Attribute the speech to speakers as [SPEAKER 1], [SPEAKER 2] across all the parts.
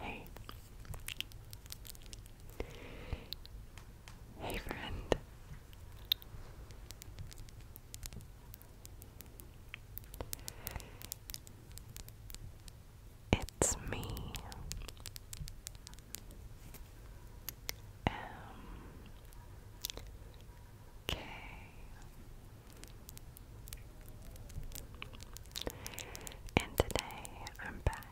[SPEAKER 1] Hey. Hey, friend. It's me. M K and today I'm back,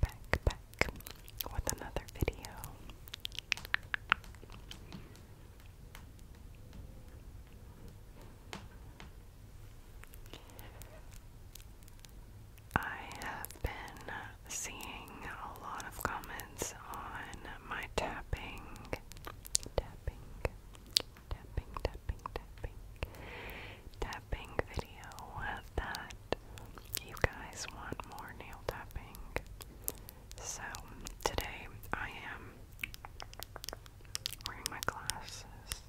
[SPEAKER 1] back, back with another video. I have been seeing a lot of comments on my tapping, tapping, tapping, tapping, tapping, tapping video that you guys want more nail tapping. So today I am wearing my glasses.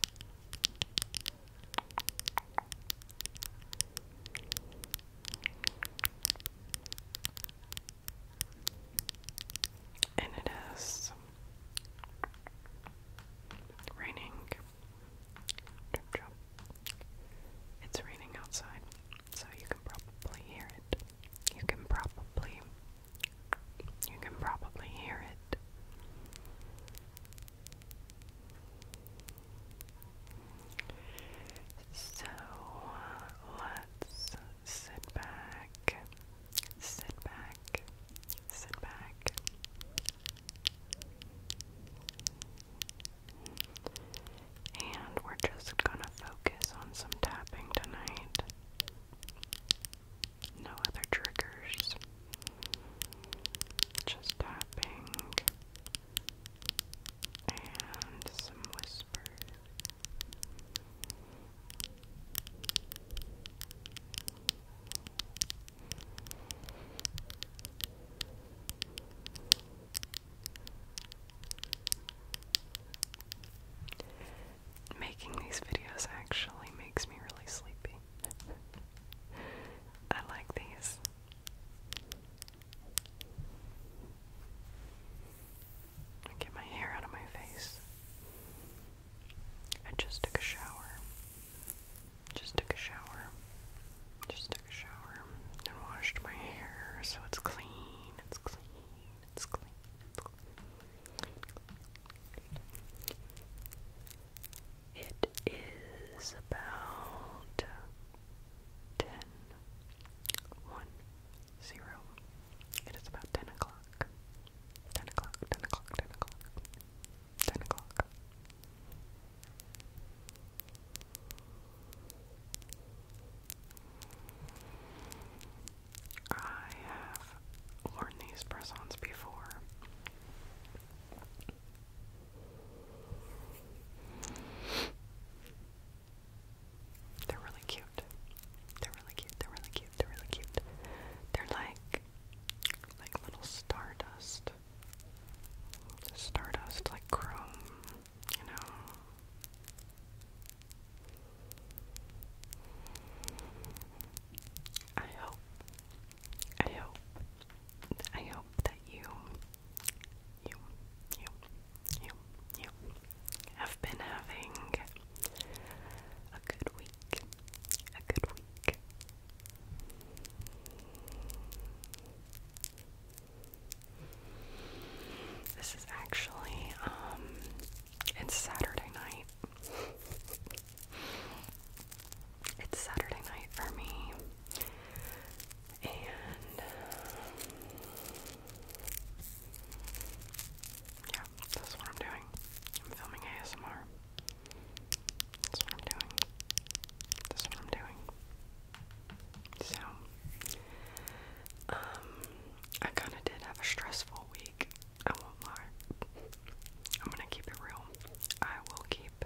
[SPEAKER 1] And it is raining. It's raining outside, so you can probably hear it. You can probably, you can probably hear it. So let's sit back, sit back, sit back. And we're just gonna focus on some tapping tonight. No other triggers. Just tapping, and some whispers. Making these videos actually makes me really sleepy. I like these. I get my hair out of my face. I just took a shower. Just took a shower. Just took a shower and washed my hair so It's clean. It's clean. It's clean. It is about ten one zero. It is about ten o'clock. Ten o'clock, ten o'clock, ten o'clock. Ten o'clock. I have worn these press before. They're really cute. They're really cute. They're really cute. They're really cute. They're like like little stardust. Stardust like chrome, you know. I hope I hope I hope that you you you you you have been having a good week. A good week. This is actually um, it's Saturday night it's Saturday night for me, and um, yeah, that's what I'm doing. I'm filming ASMR. That's what I'm doing. That's what I'm doing. So, um, I kind of did have a stressful week. I won't I'm gonna keep it real. I will keep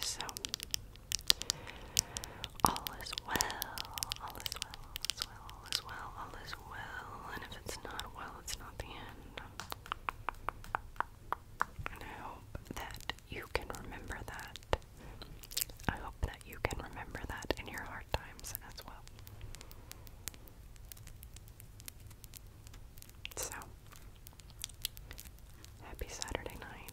[SPEAKER 1] So, all is well, all is well, all is well, all is well, all is well, and if it's not well, it's not the end. And I hope that you can remember that. I hope that you can remember that in your hard times as well. So, happy Saturday night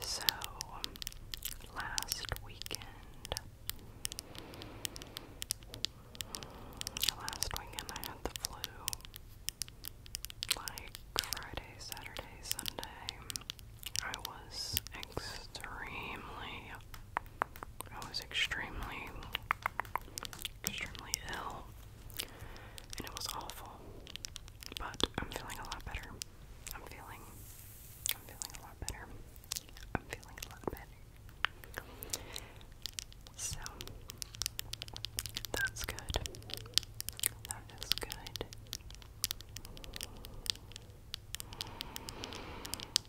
[SPEAKER 1] so, last weekend, last weekend I had the flu. Like Friday, Saturday, Sunday, I was extremely, I was extremely extremely ill, and it was awful. But I'm feeling a lot better. I'm feeling, I'm feeling a lot better. I'm feeling a lot better. So that's good. That is good.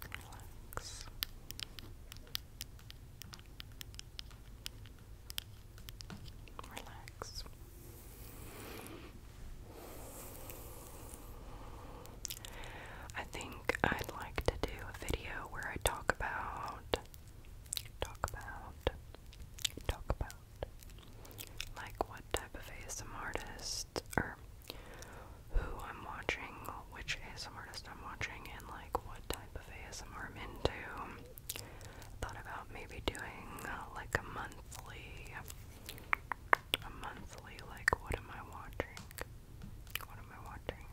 [SPEAKER 1] Relax. Relax. I think I'd like to do a video where I talk about talk about talk about like what type of ASM artist or who I'm watching, which ASMR I'm watching, and like what type of ASMR I'm into. Thought about maybe doing uh, like a monthly, a monthly like what am I watching? What am I watching?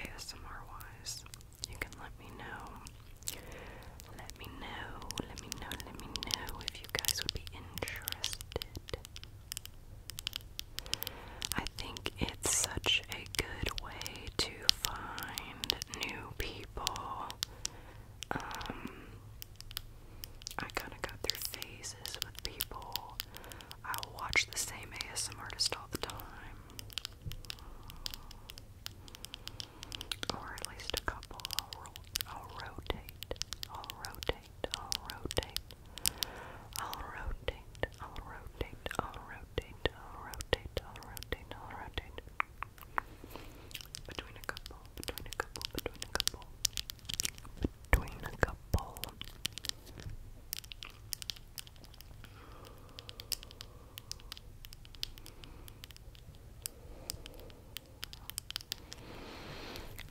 [SPEAKER 1] ASMR wise, you can let me know. Let me know. Let me know. Let me know if you guys would be interested. I think it's such a good way to find new people. Um, I kind of go through phases with people. I watch the same ASM artist all the time. Or at least a couple. I'll, I'll rotate. I'll rotate. I'll rotate, I'll rotate, I'll rotate, I'll rotate, I'll rotate, I'll rotate, I'll rotate. Between a couple, between a couple, between a couple, between a couple.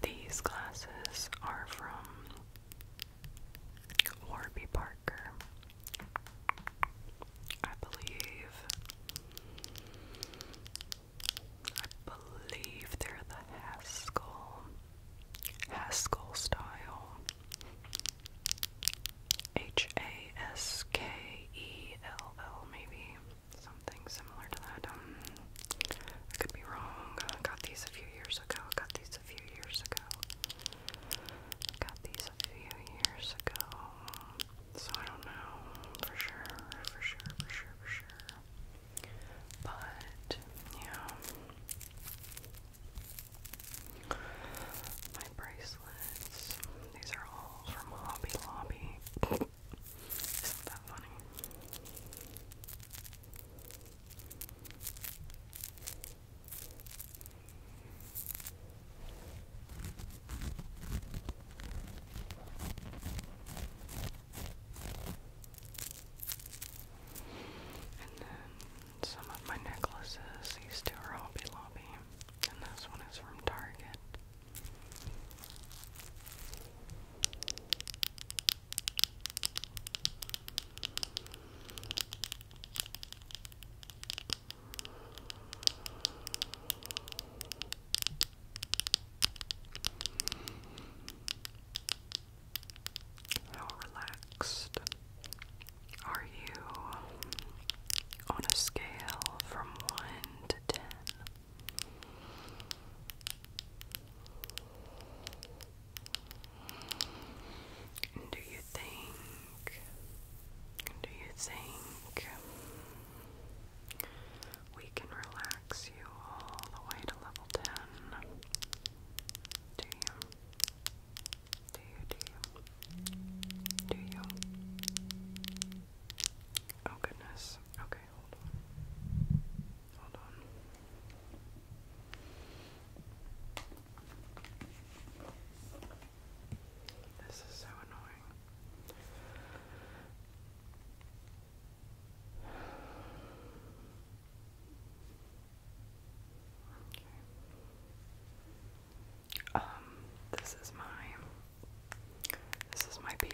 [SPEAKER 1] These glasses are from Warby Parker. I believe. I believe they're the Haskell. Haskell style. H A S K E L L, maybe. Something similar to that. Um, I could be wrong. got these a few years ago. got these a few years ago. got these a few years ago. So I don't know for sure, for sure, for sure, for sure. But yeah, my bracelets. These are all from Hobby Lobby. Isn't that funny? And then some of my necklaces, these two are Hobby Lobby, and this one is from Target. How relaxed are you on a scale from 1 to 10? do you think, do you think we can relax you all the way to level 10? Do you? Do you, do you? Do you? Oh goodness. Okay. This is so annoying. Um, this is my this is my PDM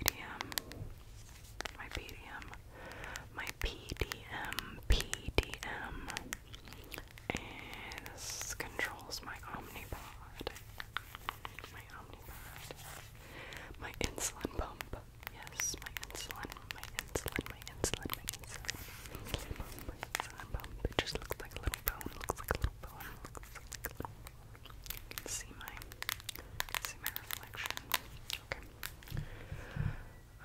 [SPEAKER 1] my PDM, my PDM, PDM is controls my Omnipod, my Omnipod, my insulin pump. Yes, my insulin, my insulin, my insulin, my insulin, pump, my insulin pump. It just looks like a little bone. looks like a little bone. can you see my reflection.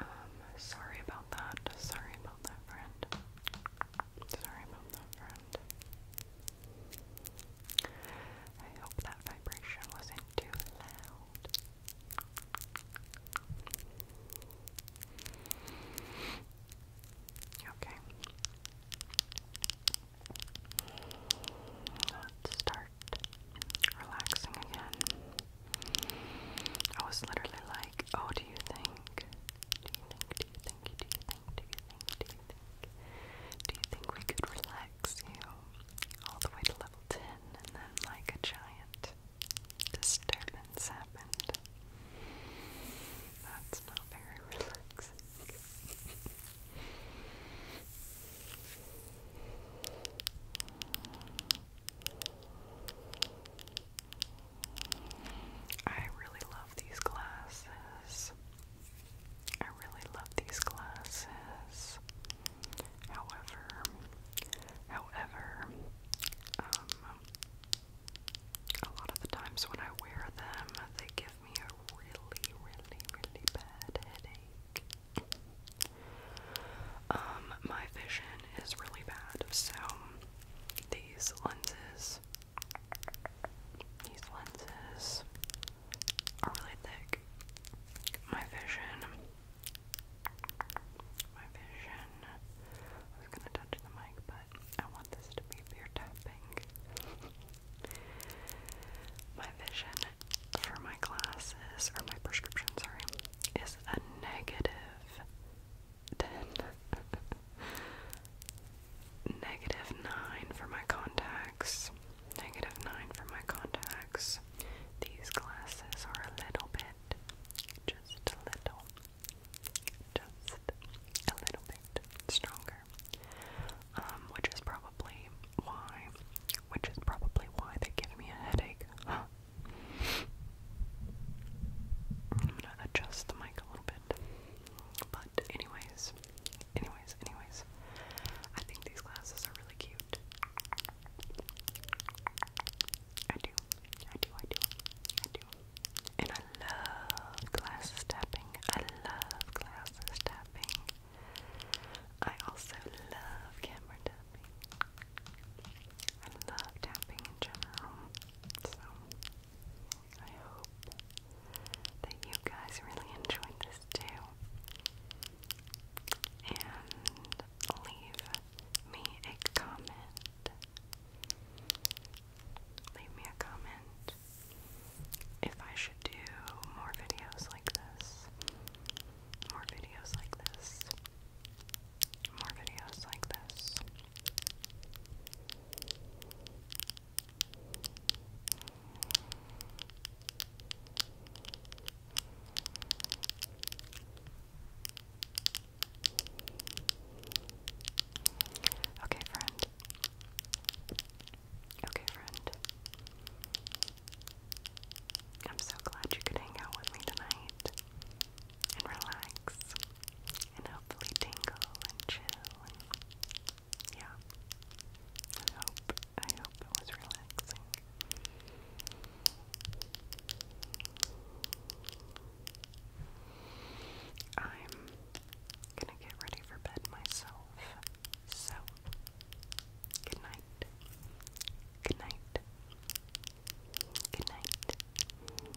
[SPEAKER 1] Um, sorry about that. Sorry about that, friend. Sorry about that, friend. I hope that vibration wasn't too loud. Okay. start start relaxing again. I was literally like, oh, do you think? Do you think? Do you think? Do you think? Do you think? Do you think? Do you think we could relax you all the way to level 10 and then like a giant disturbance happened? That's not very relaxing. I really love these glasses. I really love these glasses. However, however, um, a lot of the times when I wear them, they give me a really, really, really bad headache. Um, my vision is really bad, so these lenses, these lenses are really thick. My vision, my vision. I was gonna touch the mic, but I want this to be beer tapping. my vision for my glasses, or my prescription, sorry, is a negative 10. negative 9 for my contacts. Negative 9 for my contacts. These glasses are a little bit, just a little, just a little bit stronger, um, which is probably why, which is probably why they give me a headache. I'm gonna adjust the mic a little bit. But anyways, anyways, anyways, I think these glasses are really cute. I do, I do, I do, I do. And I love glasses tapping. I love glasses tapping. I also love camera tapping. I love tapping in general. So I hope that you guys really enjoyed this too. And leave me a comment. Leave me a comment if I should do more videos like this, more videos like this, more videos like this. Okay, friend. Okay, friend. I'm so glad you could hang out with me tonight and relax and hopefully tingle and chill and yeah. I hope I hope it was relaxing. I'm gonna get ready for bed myself. So, good night. Good night. Good night. Good night.